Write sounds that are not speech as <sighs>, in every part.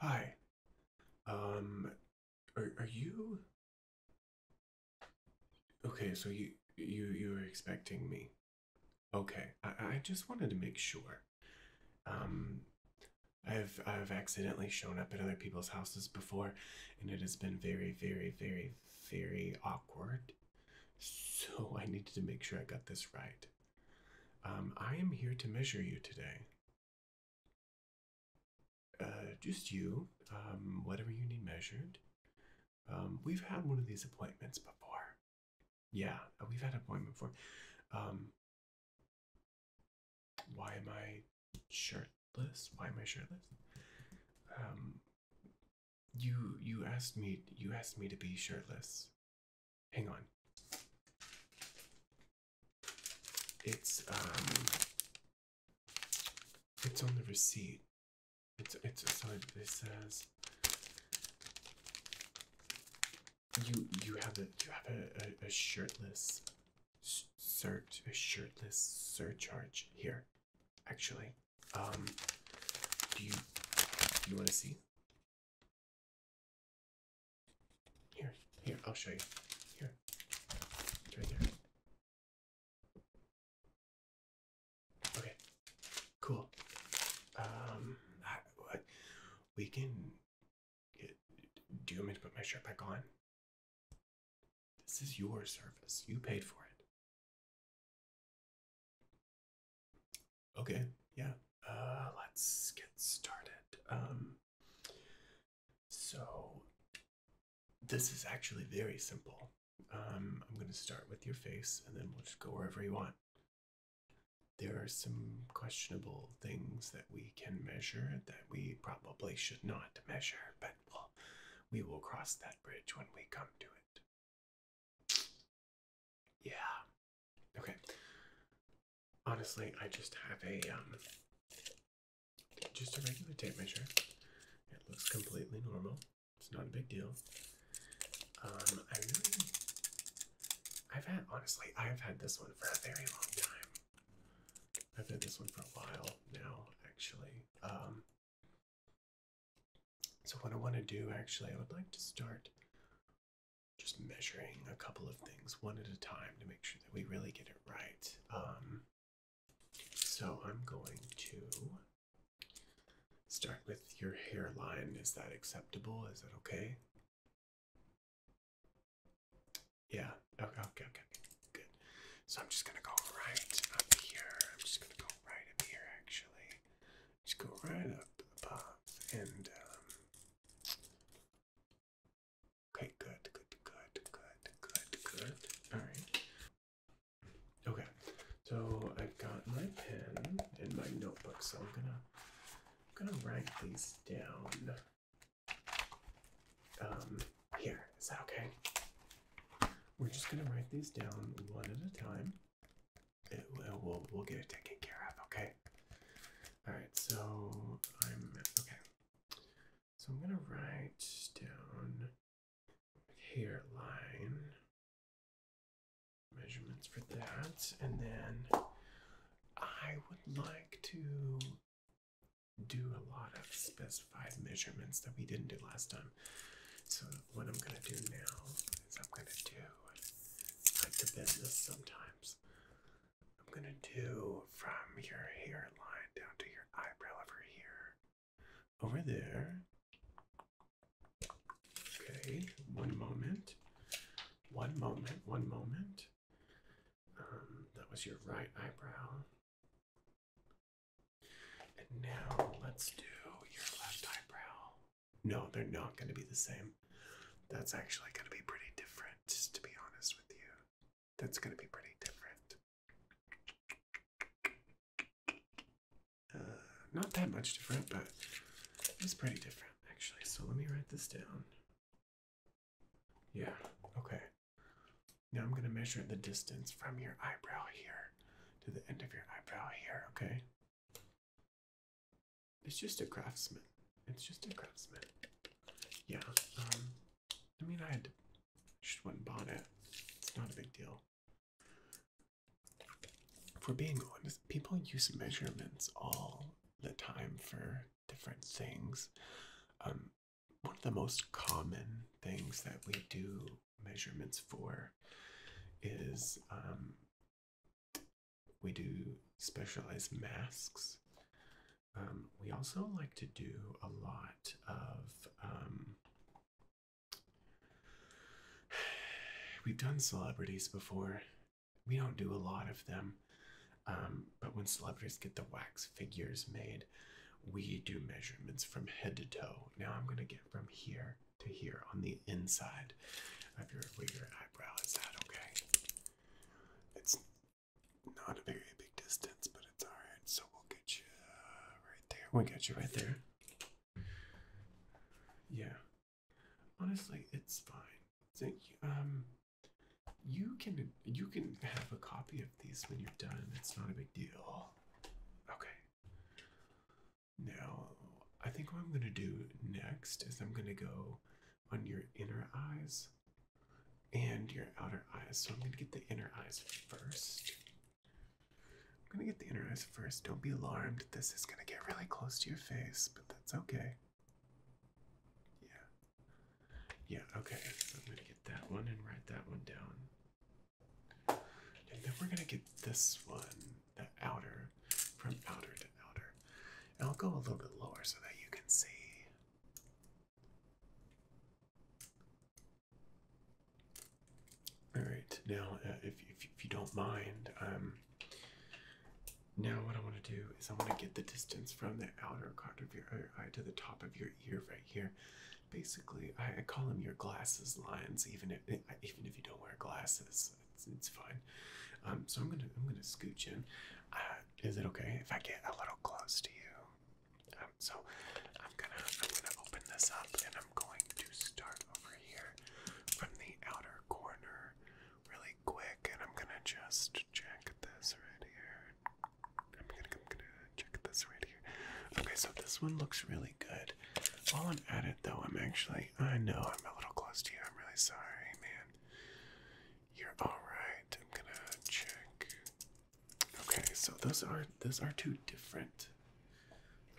Hi. Um, are, are you? Okay, so you you you were expecting me. Okay, I, I just wanted to make sure. Um, I've I've accidentally shown up at other people's houses before, and it has been very very very very awkward. So I needed to make sure I got this right. Um, I am here to measure you today. Uh, just you. Um, whatever you need measured. Um, we've had one of these appointments before. Yeah, uh, we've had an appointment before. Um, why am I shirtless? Why am I shirtless? Um, you you asked me you asked me to be shirtless. Hang on. It's um it's on the receipt. It's it's aside it says you you have a you have a, a, shirtless search a shirtless surcharge here actually um do you do you want to see here, here, I'll show you. Here, right there. Okay, cool. Um, I, we can. do you want me to put my shirt back on? This is your service. You paid for it. Okay, yeah. Uh, let's get started. Um, so this is actually very simple. Um, I'm going to start with your face and then we'll just go wherever you want. There are some questionable things that we can measure that we probably should not measure, but we'll, we will cross that bridge when we come to it. Yeah. Okay. Honestly, I just have a um just a regular tape measure. It looks completely normal. It's not a big deal. Um, I have had honestly, I've had this one for a very long time. I've had this one for a while now, actually. Um so what I want to do actually I would like to start just measuring a couple of things one at a time to make sure that we really get it right. Um, so I'm going to start with your hairline. Is that acceptable? Is that okay? Yeah. Okay. Okay. Okay. Good. So I'm just gonna go right up here. I'm just gonna go right up here. Actually, just go right up above and um, Okay, good, good, good, good, good, good. All right. Okay, so I've got my pen and my notebook, so I'm gonna I'm gonna write these down. Um, here is that okay? We're just gonna write these down one at a time. It, we'll we'll get it taken care of. Okay. All right, so I'm okay. So I'm gonna write down here line measurements for that, and then I would like to do a lot of specified measurements that we didn't do last time. So what I'm gonna do now is I'm gonna do like the business sometimes. I'm gonna do from your hairline down to your eyebrow over here. Over there. Okay, one moment. One moment, one moment. Um, that was your right eyebrow. And now let's do your left eyebrow. No, they're not going to be the same. That's actually going to be pretty different, to be honest with you. That's going to be pretty different. Uh, not that much different, but it's pretty different, actually. So let me write this down. Yeah, okay. Now I'm going to measure the distance from your eyebrow here to the end of your eyebrow here, okay? It's just a craftsman. It's just a craftsman. Yeah. Um. I mean, I had just went bonnet. It's not a big deal. For being honest, people use measurements all the time for different things. Um, one of the most common things that we do measurements for is um, we do specialized masks. Um, we also like to do a lot of. Um, <sighs> we've done celebrities before. We don't do a lot of them. Um, but when celebrities get the wax figures made, we do measurements from head to toe. Now I'm going to get from here to here on the inside side of your where your eyebrow is at, okay? It's not a very big distance, but it's alright. So we'll get you uh, right there. we get you right there. Yeah. Honestly, it's fine. So, um, you can you can have a copy of these when you're done. It's not a big deal. Okay. Now, I think what I'm gonna do next is I'm gonna go on your inner eyes and your outer eyes. So I'm going to get the inner eyes first. I'm going to get the inner eyes first. Don't be alarmed. This is going to get really close to your face, but that's okay. Yeah. Yeah, okay. I'm going to get that one and write that one down. And then we're going to get this one to outer, from outer to outer. And I'll go a little bit lower so that you can see. All right, now uh, if, if, if you don't mind, um, now what I want to do is I want to get the distance from the outer part of your uh, eye to the top of your ear right here. Basically, I, I call them your glasses lines, even if even if you don't wear glasses it's fine. Um, so I'm gonna I'm gonna scooch in. Uh, is it okay if I get a little close to you? Um, so I'm gonna I'm gonna open this up and I'm going to start over here from the outer corner really quick and I'm gonna just check this right here. I'm gonna I'm gonna check this right here. Okay, so this one looks really good. While I'm at it though, I'm actually I know I'm a little close to you. I'm really sorry, man. You're alright. I'm gonna check. Okay, so those are those are two different.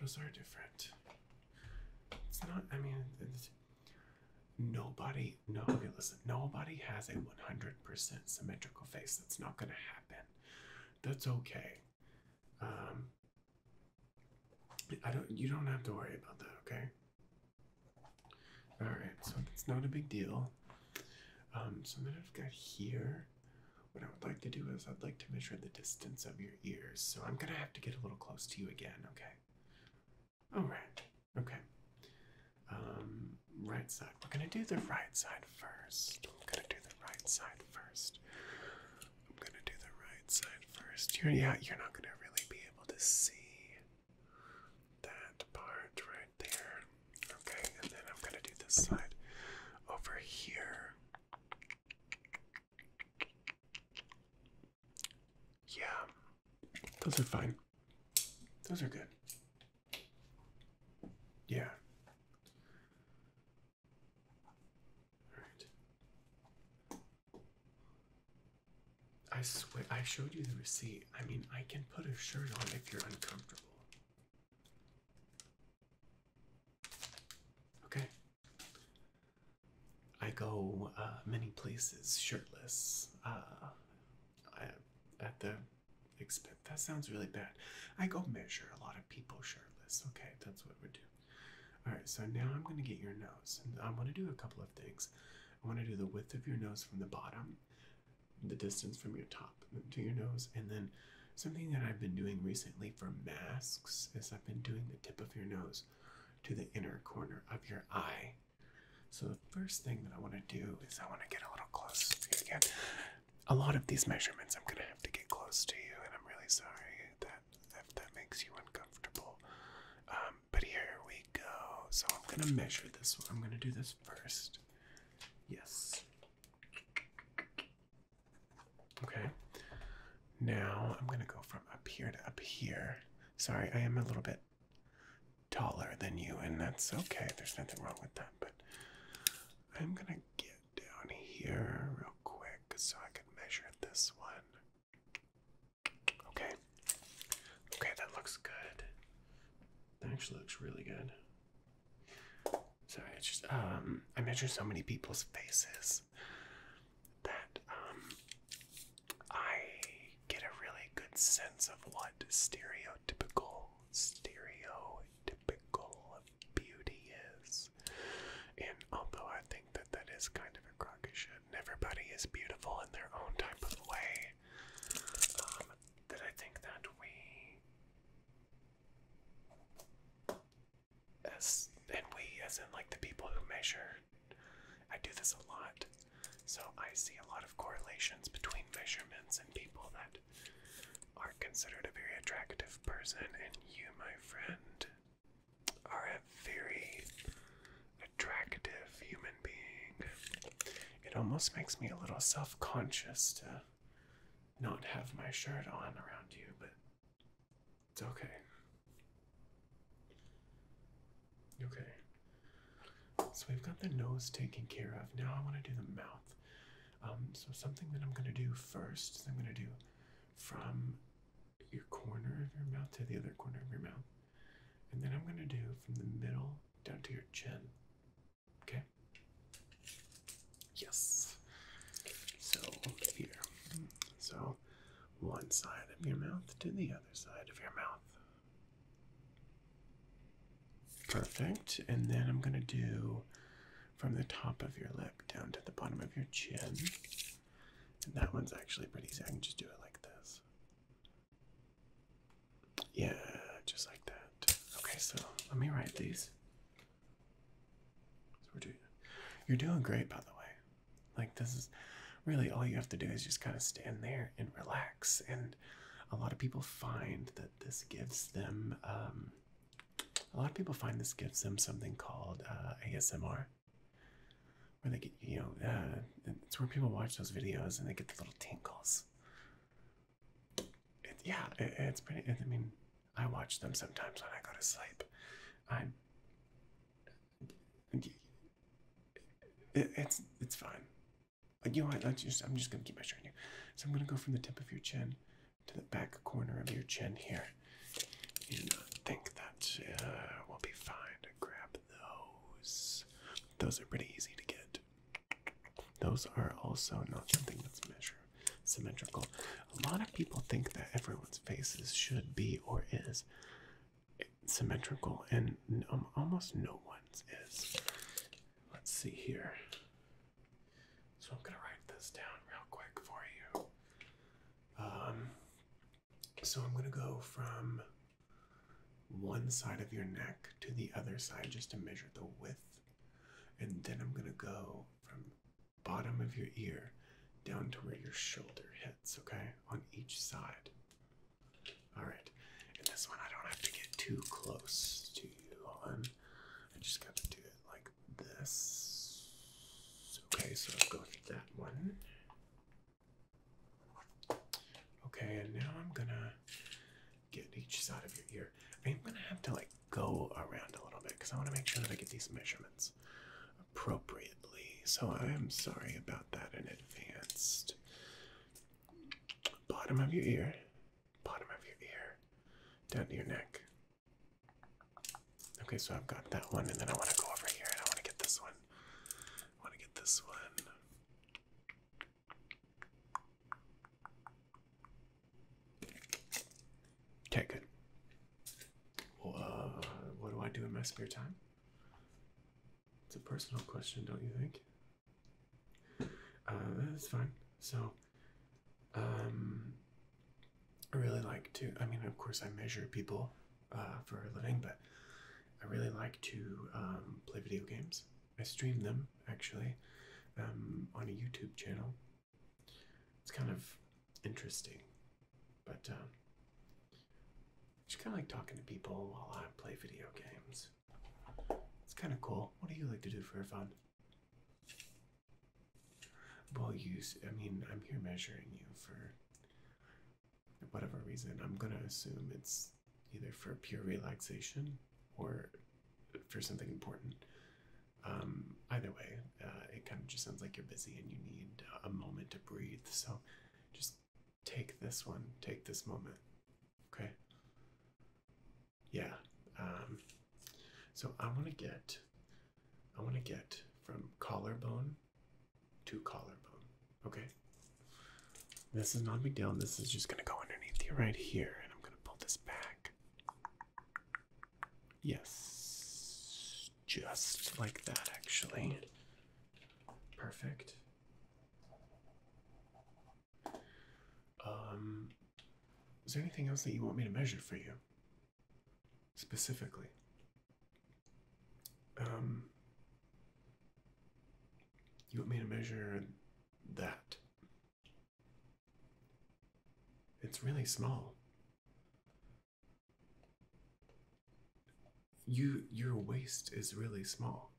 Those are different. It's not I mean it's, nobody no okay listen, nobody has a 100% symmetrical face. That's not gonna happen. That's okay. Um I don't you don't have to worry about that, okay? All right, so it's not a big deal. Um, so then I've got here. What I would like to do is I'd like to measure the distance of your ears. So I'm gonna have to get a little close to you again, okay? All right, okay. Um, right side. We're gonna do the right side first. I'm gonna do the right side first. I'm gonna do the right side first. You're, yeah, you're not gonna really be to see that part right there. Okay, and then I'm going to do this side over here. Yeah, those are fine. Those are good. Yeah. Alright. I swear, I showed you the receipt. I mean, I can put a shirt on if you're uncomfortable. Okay. I go uh, many places shirtless. Uh, at the expense. That sounds really bad. I go measure a lot of people shirtless. Okay, that's what we do. All right, so now I'm going to get your nose. And I want to do a couple of things. I want to do the width of your nose from the bottom, the distance from your top to your nose, and then something that I've been doing recently for masks is I've been doing the tip of your nose to the inner corner of your eye. So the first thing that I want to do is I want to get a little close to you again. A lot of these measurements I'm going to have to get close to you, and I'm really sorry that if that makes you uncomfortable. Um, but here we go. So I'm gonna hmm. measure this one. I'm gonna do this first. Yes. Okay. Now I'm gonna go from up here to up here. Sorry, I am a little bit taller than you, and that's okay. There's nothing wrong with that, but I'm gonna get down here real quick so I can measure this one. Okay. Okay, that looks good. That actually looks really good. So it's just um I measure so many people's faces that um I get a really good sense of what stereotypical stereotypical beauty is. And although I think that that is kind of a crock of shit, and everybody is beautiful in their own type of way, um, that I think that we, as and we, as in like the people who measure, I do this a lot, so I see a lot of correlations between measurements and people that are considered a very attractive person, and you, my friend, are a very attractive human being. It almost makes me a little self conscious to not have my shirt on around you, but it's okay. Okay. So we've got the nose taken care of. Now I want to do the mouth. Um, so something that I'm going to do first is I'm going to do from your corner of your mouth to the other corner of your mouth. And then I'm going to do from the middle down to your chin. Okay? Yes. So, here. So, one side of your mouth to the other side of your mouth. Perfect. And then I'm going to do from the top of your lip down to the bottom of your chin. And that one's actually pretty easy. I can just do it like this. Yeah, just like that. Okay, so let me write these. So we're doing, you're doing great, by the way. Like, this is really all you have to do is just kind of stand there and relax. And a lot of people find that this gives them, um, a lot of people find this gives them something called uh, ASMR, where they get you know uh, it's where people watch those videos and they get the little tingles yeah it's pretty i mean i watch them sometimes when i go to sleep i'm it's it's fine but you know what let's just i'm just gonna keep my measuring you so i'm gonna go from the tip of your chin to the back corner of your chin here and I think that uh, we'll be fine to grab those. Those are pretty easy to get. Those are also not something that's measure symmetrical. A lot of people think that everyone's faces should be or is symmetrical, and almost no one's is. Let's see here. So I'm gonna write this down real quick for you. Um, so I'm going to go from one side of your neck to the other side just to measure the width. And then I'm going to go from bottom of your ear down to where your shoulder hits, okay? On each side. All right. And this one I don't have to get too close to you on. I just got to do it like this. Okay, so I'll go that one. Okay, and now I'm gonna get each side of your ear. I'm gonna have to like go around a little bit because I want to make sure that I get these measurements appropriately. So I am sorry about that in advance. Bottom of your ear, bottom of your ear, down to your neck, Okay, so I've got that one, and then I want to go over here and I want to get this one. I want to get this one. Okay, good. Uh, what do I do in my spare time? It's a personal question, don't you think? Uh, that's fine. So, um, I really like to, I mean, of course, I measure people uh, for a living, but I really like to um, play video games. I stream them, actually, um, on a YouTube channel. It's kind of interesting, but it's um, kind of like talking to people while I play video games. It's kind of cool. What do you like to do for fun? Well, you, I mean, I'm here measuring you for whatever reason. I'm gonna assume it's either for pure relaxation or for something important. Um, either way, uh, it kind of just sounds like you're busy and you need a moment to breathe. So just take this one, take this moment. Okay? Yeah. Um, so I want to get I want to get from collarbone to collarbone. Okay. This is not big deal. This is just going to go underneath you right here. And I'm going to pull this back. Yes. Just like that, actually. Perfect. Um, is there anything else that you want me to measure for you? specifically. Um, you want me to measure that? It's really small. You your waist is really small.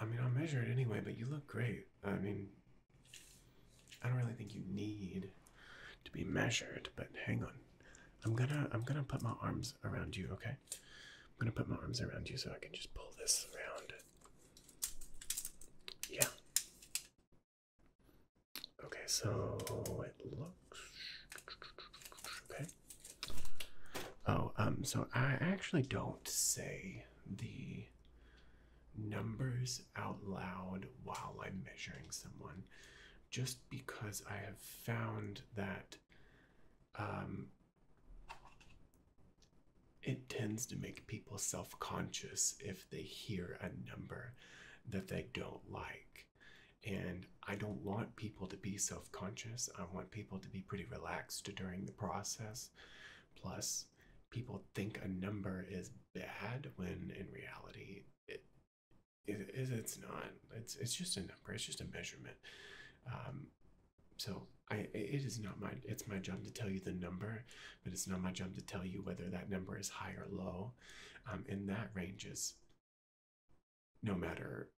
I mean, I'll measure it anyway, but you look great. I mean, I don't really think you need to be measured, but hang on. I'm gonna I'm gonna put my arms around you, okay? I'm gonna put my arms around you so I can just pull this around. Yeah. Okay, so it looks okay. Oh, um, so I actually don't say the numbers out loud while I'm measuring someone, just because I have found that um, it tends to make people self conscious if they hear a number that they don't like. And I don't want people to be self conscious. I want people to be pretty relaxed during the process. Plus, people think a number is bad when in reality it, it's not. It's it's just a number. It's just a measurement. Um, so I it is not my it's my job to tell you the number, but it's not my job to tell you whether that number is high or low, um, and that ranges. No matter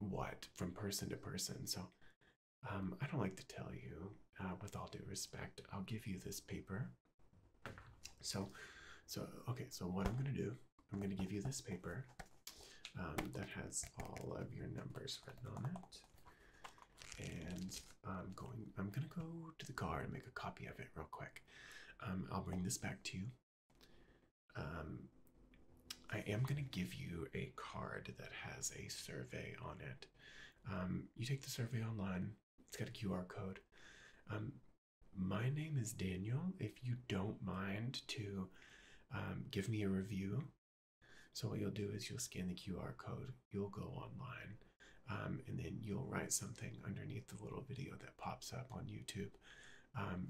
what, from person to person. So um, I don't like to tell you, uh, with all due respect, I'll give you this paper. So, so okay, so what I'm gonna do, I'm gonna give you this paper um, that has all of your numbers written on it. And I'm going, I'm gonna go to the car and make a copy of it real quick. Um, I'll bring this back to you. Um, I am going to give you a card that has a survey on it um, you take the survey online. It's got a QR code. Um, my name is Daniel. If you don't mind to um, give me a review, so what you'll do is you'll scan the QR code, you'll go online, and then you'll write something underneath the little video that pops up on YouTube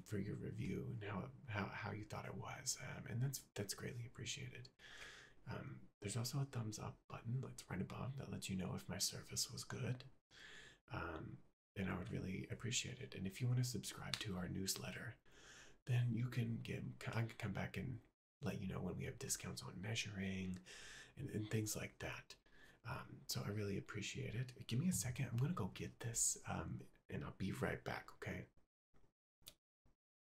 for your review and how, how, you thought it was, and that's that's greatly appreciated. There's also a thumbs up button that's right above that lets you know if my service was good. Um, and I would really appreciate it. And if you want to subscribe to our newsletter, then you can get I can come back and let you know when we have discounts on measuring and, and things like that. Um, so I really appreciate it. Give me a second. I'm gonna go get this, um, and I'll be right back. Okay.